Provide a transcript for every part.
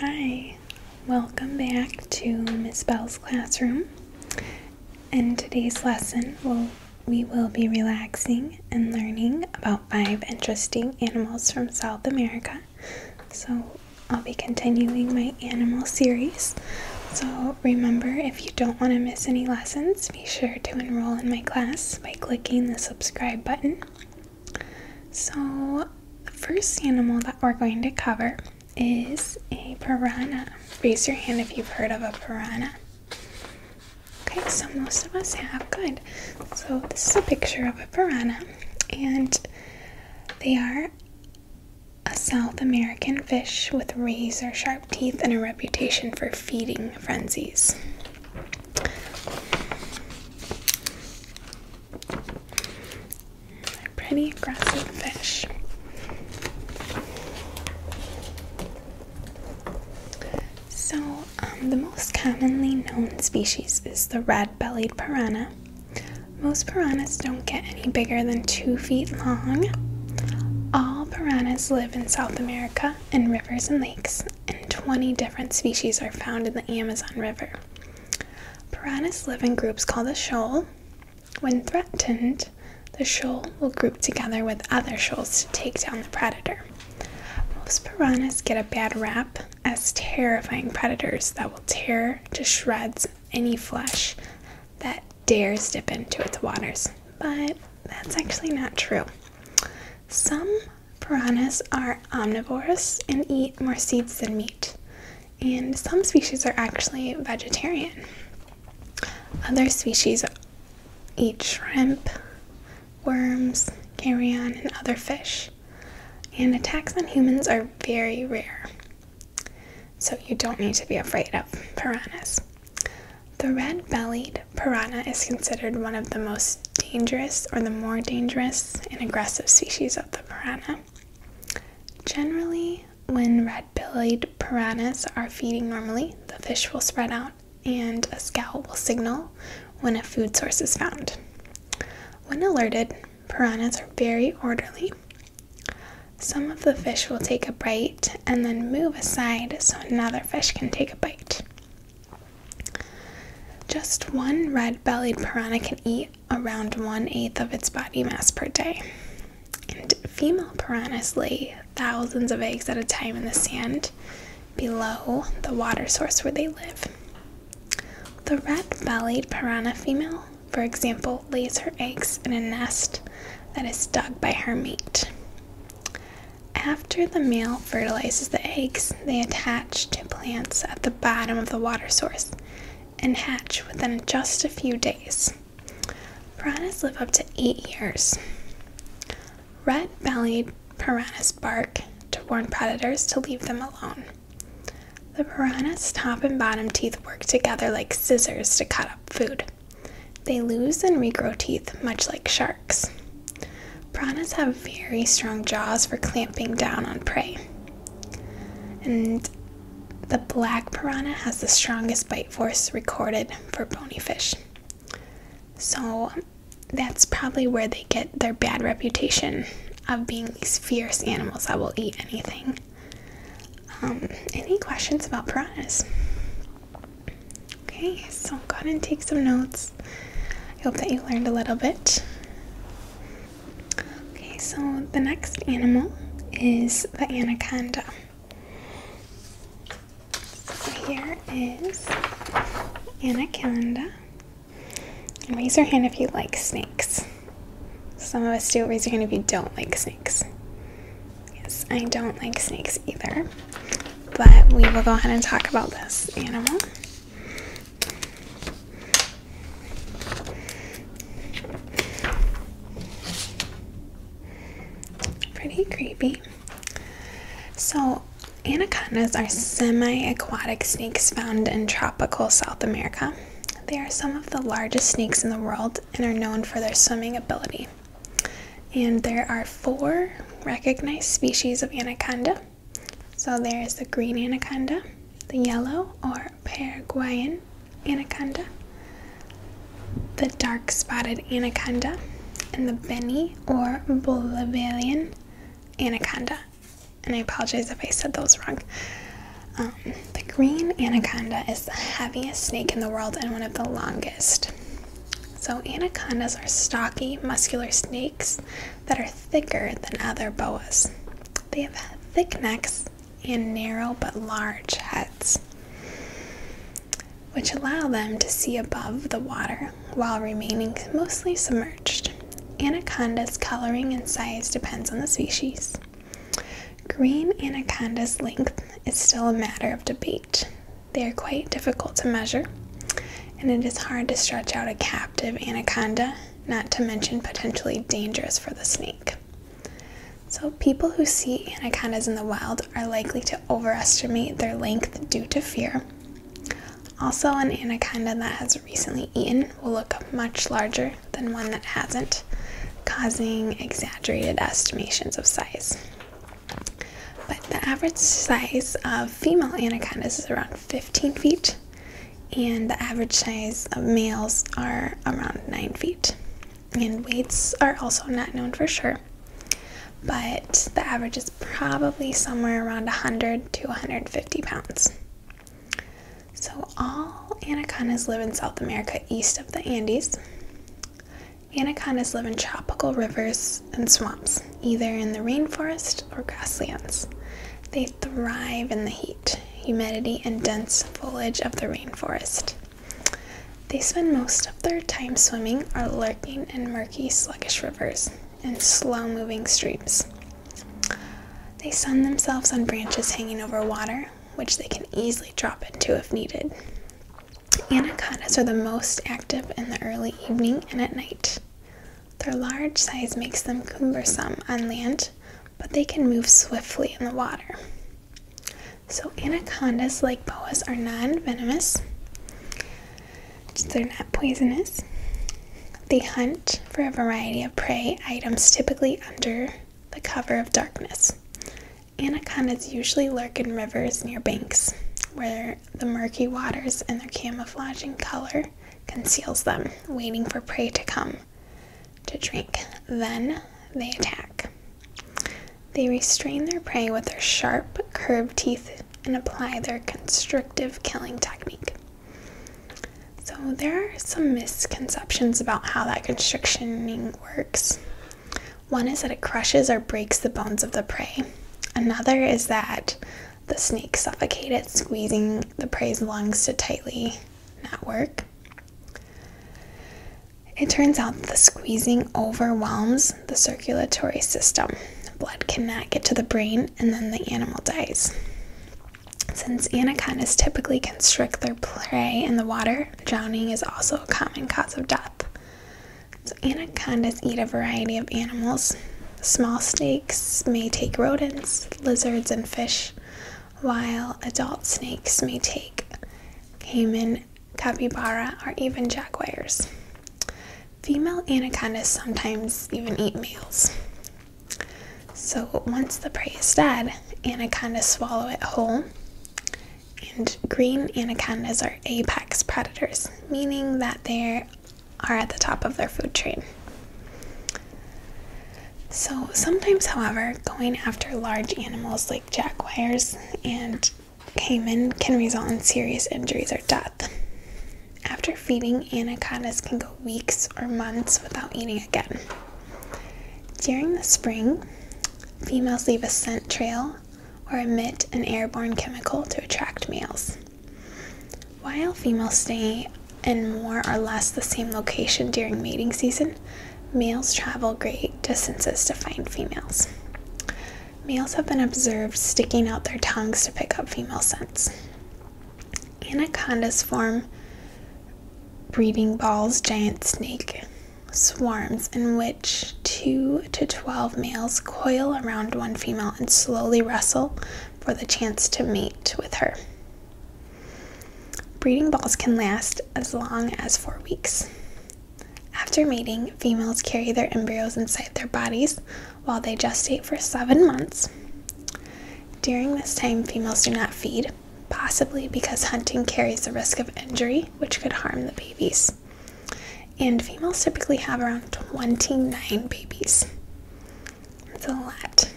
Hi, welcome back to Miss Bell's classroom. In today's lesson, we'll, we will be relaxing and learning about five interesting animals from South America. So, I'll be continuing my animal series. So, remember if you don't want to miss any lessons, be sure to enroll in my class by clicking the subscribe button. So, the first animal that we're going to cover is a piranha. Raise your hand if you've heard of a piranha. Okay, so most of us have. Good. So, this is a picture of a piranha, and they are a South American fish with razor sharp teeth and a reputation for feeding frenzies they pretty aggressive fish. So, um, the most commonly known species is the red bellied piranha. Most piranhas don't get any bigger than two feet long. All piranhas live in South America in rivers and lakes, and 20 different species are found in the Amazon River. Piranhas live in groups called a shoal. When threatened, the shoal will group together with other shoals to take down the predator. Most piranhas get a bad rap as terrifying predators that will tear to shreds any flesh that dares dip into its waters, but that's actually not true. Some Piranhas are omnivores and eat more seeds than meat, and some species are actually vegetarian. Other species eat shrimp, worms, carrion, and other fish, and attacks on humans are very rare. So, you don't need to be afraid of piranhas. The red bellied piranha is considered one of the most dangerous or the more dangerous and aggressive species of the piranha. Generally, when red bellied piranhas are feeding normally, the fish will spread out and a scowl will signal when a food source is found. When alerted, piranhas are very orderly. Some of the fish will take a bite and then move aside so another fish can take a bite. Just one red bellied piranha can eat around one eighth of its body mass per day. And female piranhas lay thousands of eggs at a time in the sand below the water source where they live. The red bellied piranha female, for example, lays her eggs in a nest that is dug by her mate. After the male fertilizes the eggs, they attach to plants at the bottom of the water source and hatch within just a few days. Piranhas live up to eight years. Red bellied piranhas bark to warn predators to leave them alone. The piranha's top and bottom teeth work together like scissors to cut up food. They lose and regrow teeth much like sharks sharks. Piranhas have very strong jaws for clamping down on prey. And the black piranha has the strongest bite force recorded for bony fish. So that's probably where they get their bad reputation of being these fierce animals that will eat anything. Um, any questions about piranhas? Okay, so go ahead and take some notes. I hope that you learned a little bit. Okay, so the next animal is the anaconda. So here is anaconda. And raise your hand if you like snakes. Some of us do. Raise your hand if you don't like snakes. Yes, I don't like snakes either. But we will go ahead and talk about this animal. Pretty creepy. So, anacondas are semi aquatic snakes found in tropical South America. They are some of the largest snakes in the world and are known for their swimming ability. And there are four recognized species of anaconda. So there is the green anaconda, the yellow or Paraguayan anaconda, the dark spotted anaconda, and the Benny or Bolivian anaconda. And I apologize if I said those wrong. Um, the green anaconda is the heaviest snake in the world and one of the longest. So, anacondas are stocky, muscular snakes that are thicker than other boas. They have thick necks and narrow but large heads, which allow them to see above the water while remaining mostly submerged. Anacondas' coloring and size depends on the species. Green anaconda's length is still a matter of debate. They are quite difficult to measure, and it is hard to stretch out a captive anaconda, not to mention potentially dangerous for the snake. So, people who see anacondas in the wild are likely to overestimate their length due to fear. Also, an anaconda that has recently eaten will look much larger than one that hasn't, causing exaggerated estimations of size. But the average size of female anacondas is around 15 feet, and the average size of males are around 9 feet. And weights are also not known for sure, but the average is probably somewhere around 100 to 150 pounds. So, all anacondas live in South America east of the Andes. Anacondas live in tropical rivers and swamps either in the rainforest or grasslands. They thrive in the heat, humidity, and dense foliage of the rainforest. They spend most of their time swimming or lurking in murky, sluggish rivers and slow moving streams. They sun themselves on branches hanging over water, which they can easily drop into if needed. Anacondas are the most active in the early evening and at night. Their large size makes them cumbersome on land, but they can move swiftly in the water. So, anacondas, like boas, are non venomous, they're not poisonous. They hunt for a variety of prey items, typically under the cover of darkness. Anacondas usually lurk in rivers near banks where the murky waters and their camouflaging color conceals them, waiting for prey to come to drink. Then they attack. They restrain their prey with their sharp, curved teeth and apply their constrictive killing technique. So, there are some misconceptions about how that constrictioning works. One is that it crushes or breaks the bones of the prey. Another is that the snake suffocated, squeezing the prey's lungs to tightly not work. It turns out the squeezing overwhelms the circulatory system. Blood cannot get to the brain, and then the animal dies. Since anacondas typically constrict their prey in the water, drowning is also a common cause of death anacondas eat a variety of animals. Small snakes may take rodents, lizards, and fish, while adult snakes may take caiman, capybara, or even jaguars. Female anacondas sometimes even eat males. So once the prey is dead, anacondas swallow it whole, and green anacondas are apex predators, meaning that they are at the top of their food chain. So, sometimes, however, going after large animals like jaguars and caiman can result in serious injuries or death. After feeding, anacondas can go weeks or months without eating again. During the spring, females leave a scent trail or emit an airborne chemical to attract males. While females stay in more or less the same location during mating season, males travel great distances to find females. Males have been observed sticking out their tongues to pick up female scents. Anacondas form breeding balls, giant snake swarms in which two to 12 males coil around one female and slowly wrestle for the chance to mate with her. Breeding balls can last as long as four weeks. After mating, females carry their embryos inside their bodies while they gestate for seven months. During this time, females do not feed, possibly because hunting carries the risk of injury, which could harm the babies. And females typically have around 29 babies. That's a lot.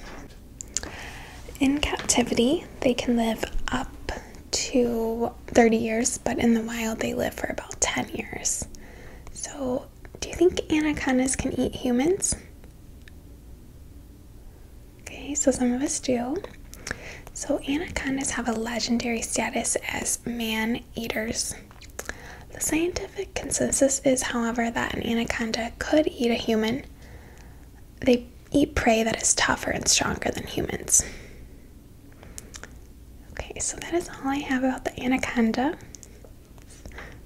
In captivity, they can live up to 30 years, but in the wild, they live for about 10 years. So, do you think anacondas can eat humans? Okay, so some of us do. So, anacondas have a legendary status as man eaters. The scientific consensus is, however, that an anaconda could eat a human. They eat prey that is tougher and stronger than humans. Okay, so that is all I have about the anaconda.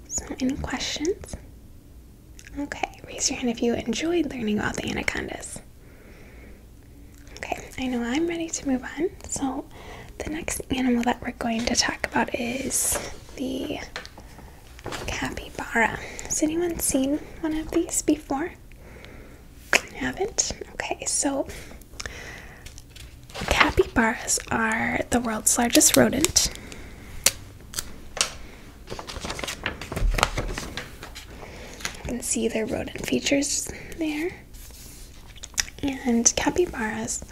So, any questions? Okay, raise your hand if you enjoyed learning about the anacondas. Okay, I know I'm ready to move on. So, the next animal that we're going to talk about is the capybara. Has anyone seen one of these before? Haven't? Okay, so capybaras are the world's largest rodent. You can see their rodent features there. And capybaras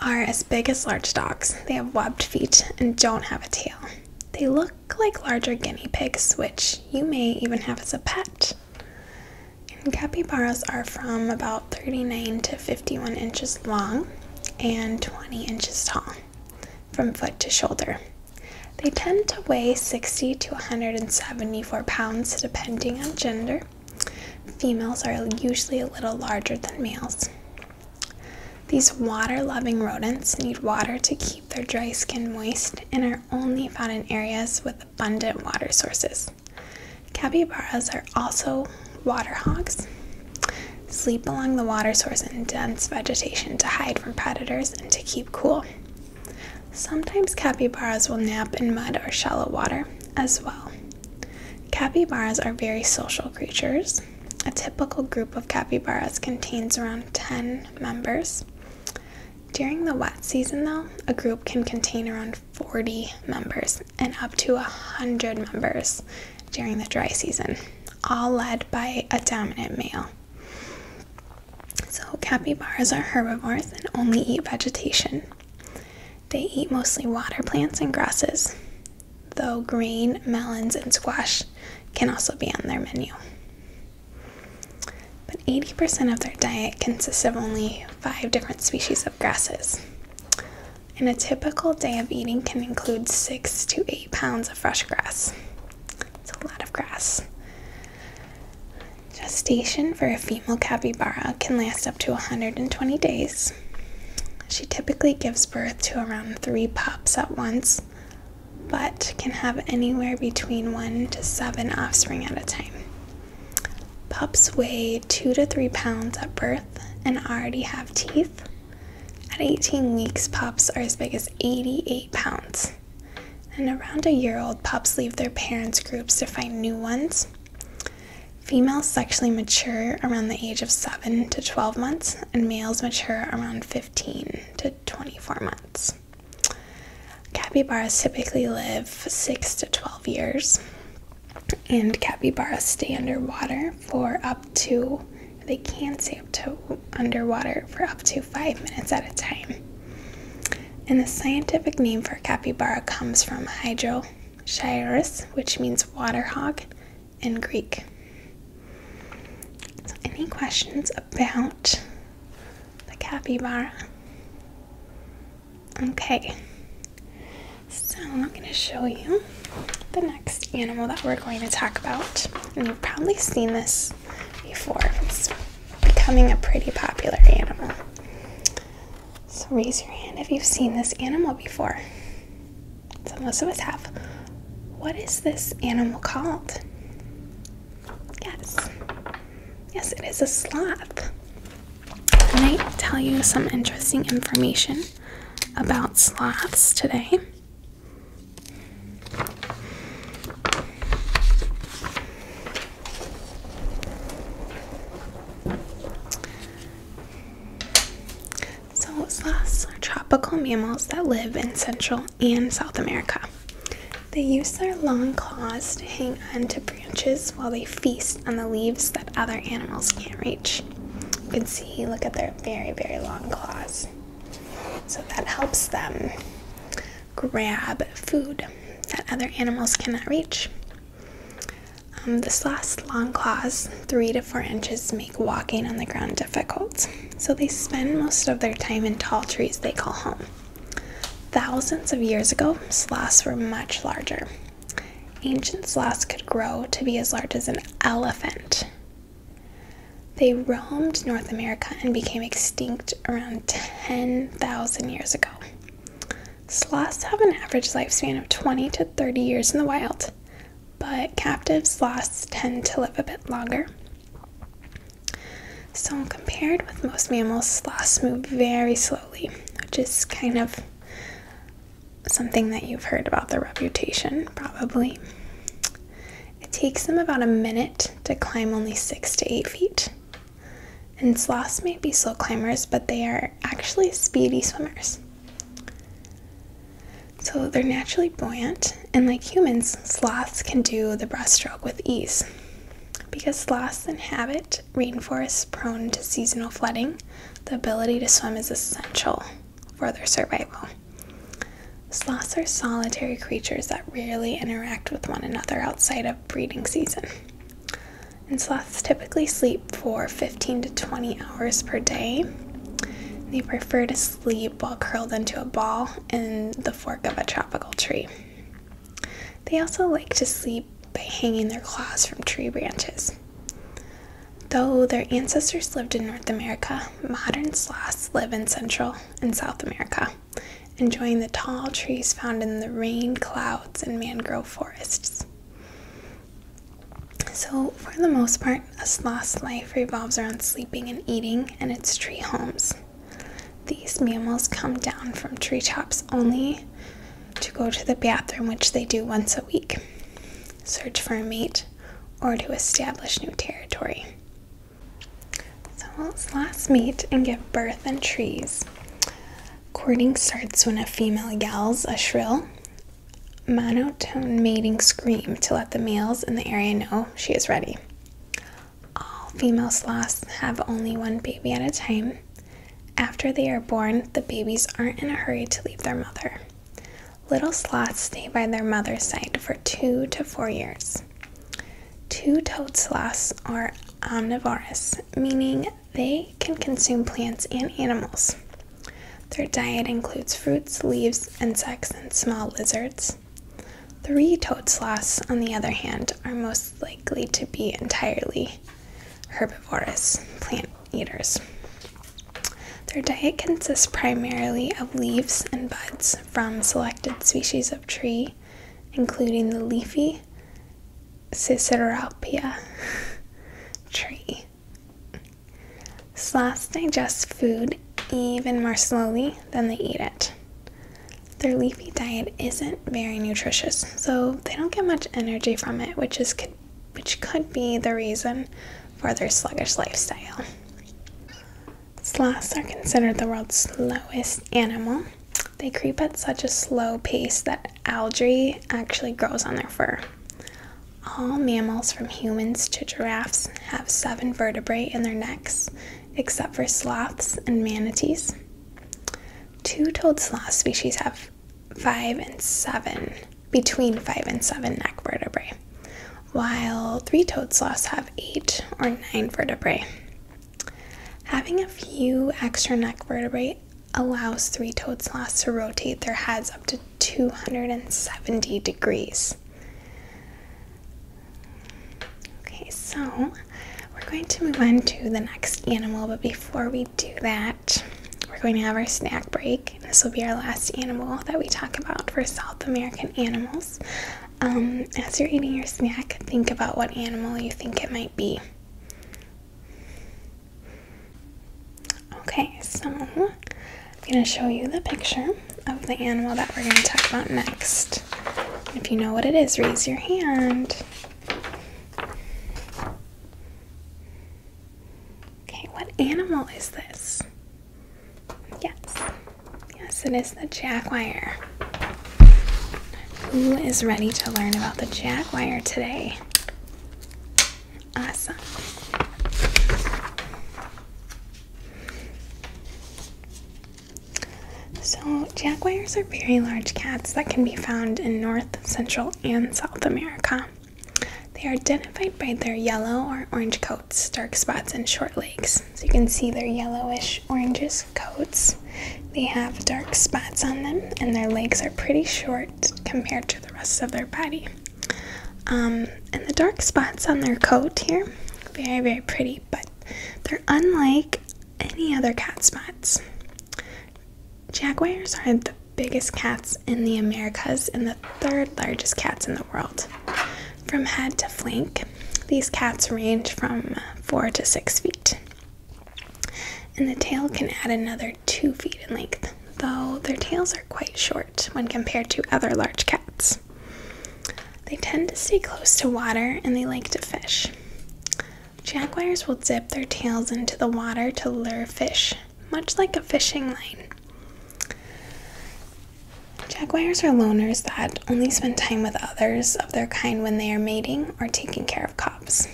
are as big as large dogs. They have webbed feet and don't have a tail. They look like larger guinea pigs, which you may even have as a pet. capybaras are from about 39 to 51 inches long and 20 inches tall from foot to shoulder. They tend to weigh 60 to 170 24 pounds depending on gender. Females are usually a little larger than males. These water loving rodents need water to keep their dry skin moist and are only found in areas with abundant water sources. Capybaras are also water hogs, sleep along the water source in dense vegetation to hide from predators and to keep cool. Sometimes capybaras will nap in mud or shallow water as well. Capybaras are very social creatures. A typical group of capybaras contains around 10 members. During the wet season, though, a group can contain around 40 members and up to 100 members during the dry season, all led by a dominant male. So, capybaras are herbivores and only eat vegetation. They eat mostly water plants and grasses, though green melons, and squash can also be on their menu. But 80% of their diet consists of only five different species of grasses. And a typical day of eating can include six to eight pounds of fresh grass. It's a lot of grass. Gestation for a female capybara can last up to 120 days. She typically gives birth to around three pups at once, but can have anywhere between one to seven offspring at a time. Pups weigh two to three pounds at birth and already have teeth. At 18 weeks, pups are as big as 88 pounds. And around a year old, pups leave their parents' groups to find new ones. Females sexually mature around the age of 7 to 12 months, and males mature around 15 to 24 months. Capybaras typically live 6 to 12 years, and capybaras stay underwater for up to, they can stay up to underwater for up to 5 minutes at a time. And the scientific name for capybara comes from hydrochirus, which means water hog in Greek. any questions about the capybara? Okay, so I'm going to show you the next animal that we're going to talk about. And you've probably seen this before it becoming a pretty popular animal. So raise your hand if you've seen this animal before. So most of us have. What is this animal called? Yes. Yes, it is a sloth. Can I tell you some interesting information about sloths today? So, sloths are tropical mammals that live in Central and South America. They use their long claws to hang onto branches while they feast on the leaves that other animals can't reach. You can see, look at their very, very long claws. So that helps them grab food that other animals cannot reach. Um, this last long claws, three to four inches, make walking on the ground difficult, so they spend most of their time in tall trees they call home. Thousands of years ago, sloths were much larger. Ancient sloths could grow to be as large as an elephant. They roamed North America and became extinct around 10,000 years ago. Sloths have an average lifespan of 20 to 30 years in the wild, but captive sloths tend to live a bit longer. So, compared with most mammals, sloths move very slowly, which is kind of something that you've heard about their reputation, probably. It takes them about a minute to climb only six to eight feet. And sloths may be slow climbers, but they are actually speedy swimmers. So they're naturally buoyant, and like humans, sloths can do the breaststroke with ease. Because sloths inhabit rainforests prone to seasonal flooding, the ability to swim is essential for their survival. Sloths are solitary creatures that rarely interact with one another outside of breeding season. And sloths typically sleep for 15 to 20 hours per day. They prefer to sleep while curled into a ball in the fork of a tropical tree. They also like to sleep by hanging their claws from tree branches. Though their ancestors lived in North America, modern sloths live in Central and South America enjoying the tall trees found in the rain clouds and mangrove forests. So, for the most part, a sloth's life revolves around sleeping and eating in its tree homes. These mammals come down from treetops only to go to the bathroom, which they do once a week, search for a mate, or to establish new territory. Sloths last meet and give birth in trees. Courting starts when a female yells a shrill, monotone mating scream to let the males in the area know she is ready. All female sloths have only one baby at a time. After they are born, the babies aren't in a hurry to leave their mother. Little sloths stay by their mother's side for two to four years. Two toed sloths are omnivorous, meaning they can consume plants and animals. Their diet includes fruits, leaves, insects, and small lizards. Three toed sloths, on the other hand, are most likely to be entirely herbivorous plant eaters. Their diet consists primarily of leaves and buds, from selected species of tree, including the leafy Ciceropia tree. Sloths digest food even more slowly than they eat it. Their leafy diet isn't very nutritious, so they don't get much energy from it, which is which could be the reason for their sluggish lifestyle. Sloths are considered the world's slowest animal. They creep at such a slow pace that algae actually grows on their fur. All mammals, from humans to giraffes, have seven vertebrae in their necks, except for sloths and manatees. Two toed sloth species have five and seven, between five and seven neck vertebrae, while three toed sloths have eight or nine vertebrae. Having a few extra neck vertebrae allows three toed sloths to rotate their heads up to 270 degrees. Okay, so we're going to move on to the next animal, but before we do that, we're going to have our snack break. This will be our last animal that we talk about for South American animals. Um, as you're eating your snack, think about what animal you think it might be. Okay, so I'm going to show you the picture of the animal that we're going to talk about next. If you know what it is, raise your hand. Okay, what animal is this? Yes. Yes, it is the Jaguar. Who is ready to learn about the Jaguar today? Awesome. So, jaguars are very large cats that can be found in North, Central, and South America. They are identified by their yellow or orange coat dark spots, and short legs. So you can see their yellowish oranges coats. They have dark spots on them, and their legs are pretty short compared to the rest of their body. Um, and the dark spots on their coat here, very, very pretty, but they're unlike any other cat spots. Jaguars are the biggest cats in the Americas and the third largest cats in the world from head to flank. These cats range from four to six feet. And the tail can add another two feet in length, though their tails are quite short when compared to other large cats. They tend to stay close to water and they like to fish. Jaguars will dip their tails into the water to lure fish, much like a fishing line. Jaguars are loners that only spend time with others of their kind when they are mating or taking care of cubs.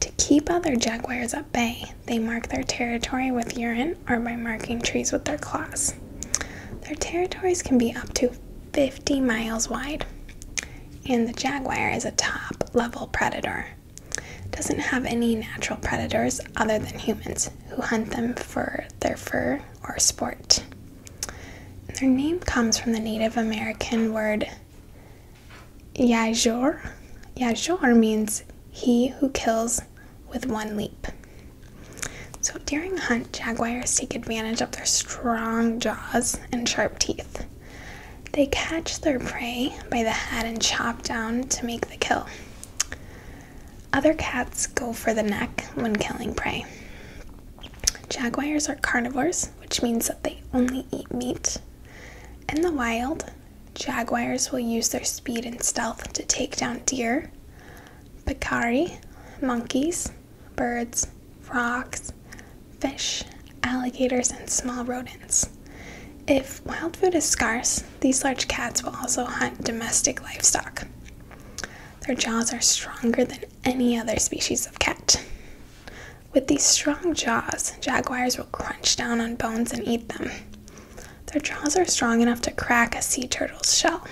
To keep other jaguars at bay, they mark their territory with urine or by marking trees with their claws. Their territories can be up to 50 miles wide, and the jaguar is a top level predator. Doesn't have any natural predators other than humans who hunt them for their fur or sport. their name comes from the Native American word Yajor. Yajor means he who kills with one leap. So during a hunt, jaguars take advantage of their strong jaws and sharp teeth. They catch their prey by the head and chop down to make the kill. Other cats go for the neck when killing prey. Jaguars are carnivores, which means that they only eat meat. In the wild, jaguars will use their speed and stealth to take down deer, picari, monkeys, birds, frogs, fish, alligators, and small rodents. If wild food is scarce, these large cats will also hunt domestic livestock, their jaws are stronger than any other species of cat. With these strong jaws, jaguars will crunch down on bones and eat them. Their jaws are strong enough to crack a sea turtle's shell.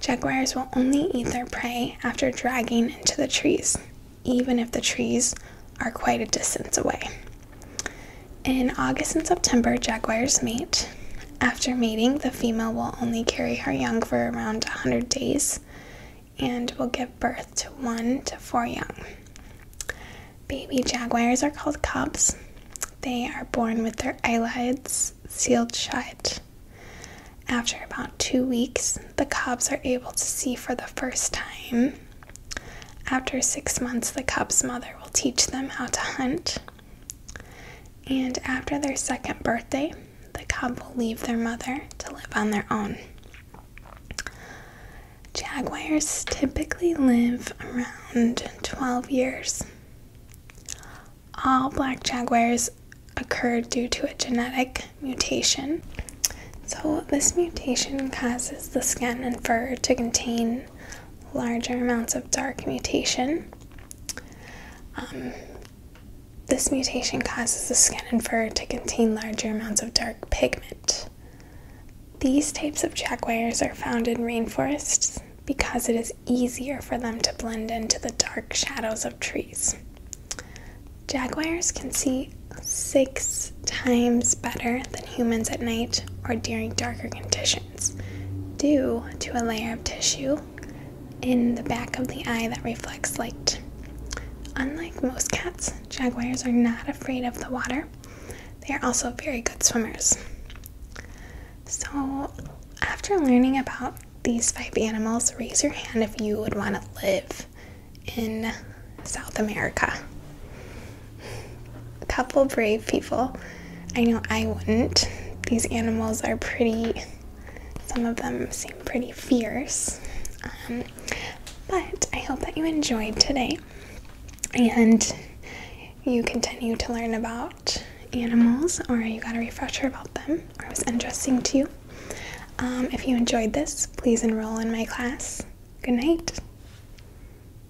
Jaguars will only eat their prey after dragging it into the trees, even if the trees are quite a distance away. In August and September, jaguars mate. After mating, the female will only carry her young for around 100 days and will give birth to one to four young. Baby jaguars are called cubs. They are born with their eyelids sealed shut. After about two weeks, the cubs are able to see for the first time. After six months, the cub's mother will teach them how to hunt. And after their second birthday, the cub will leave their mother to live on their own. Jaguars typically live around 12 years. All black jaguars occur due to a genetic mutation. So, this mutation causes the skin and fur to contain larger amounts of dark mutation. Um, this mutation causes the skin and fur to contain larger amounts of dark pigment. These types of jaguars are found in rainforests because it is easier for them to blend into the dark shadows of trees. Jaguars can see six times better than humans at night or during darker conditions due to a layer of tissue in the back of the eye that reflects light. Unlike most cats, jaguars are not afraid of the water. They are also very good swimmers. So, after learning about these five animals, raise your hand if you would want to live in South America a couple brave people. I know I wouldn't. These animals are pretty, some of them seem pretty fierce. Um, but I hope that you enjoyed today and you continue to learn about animals or you got a refresher about them or it was interesting to you. Um, if you enjoyed this, please enroll in my class. Good night.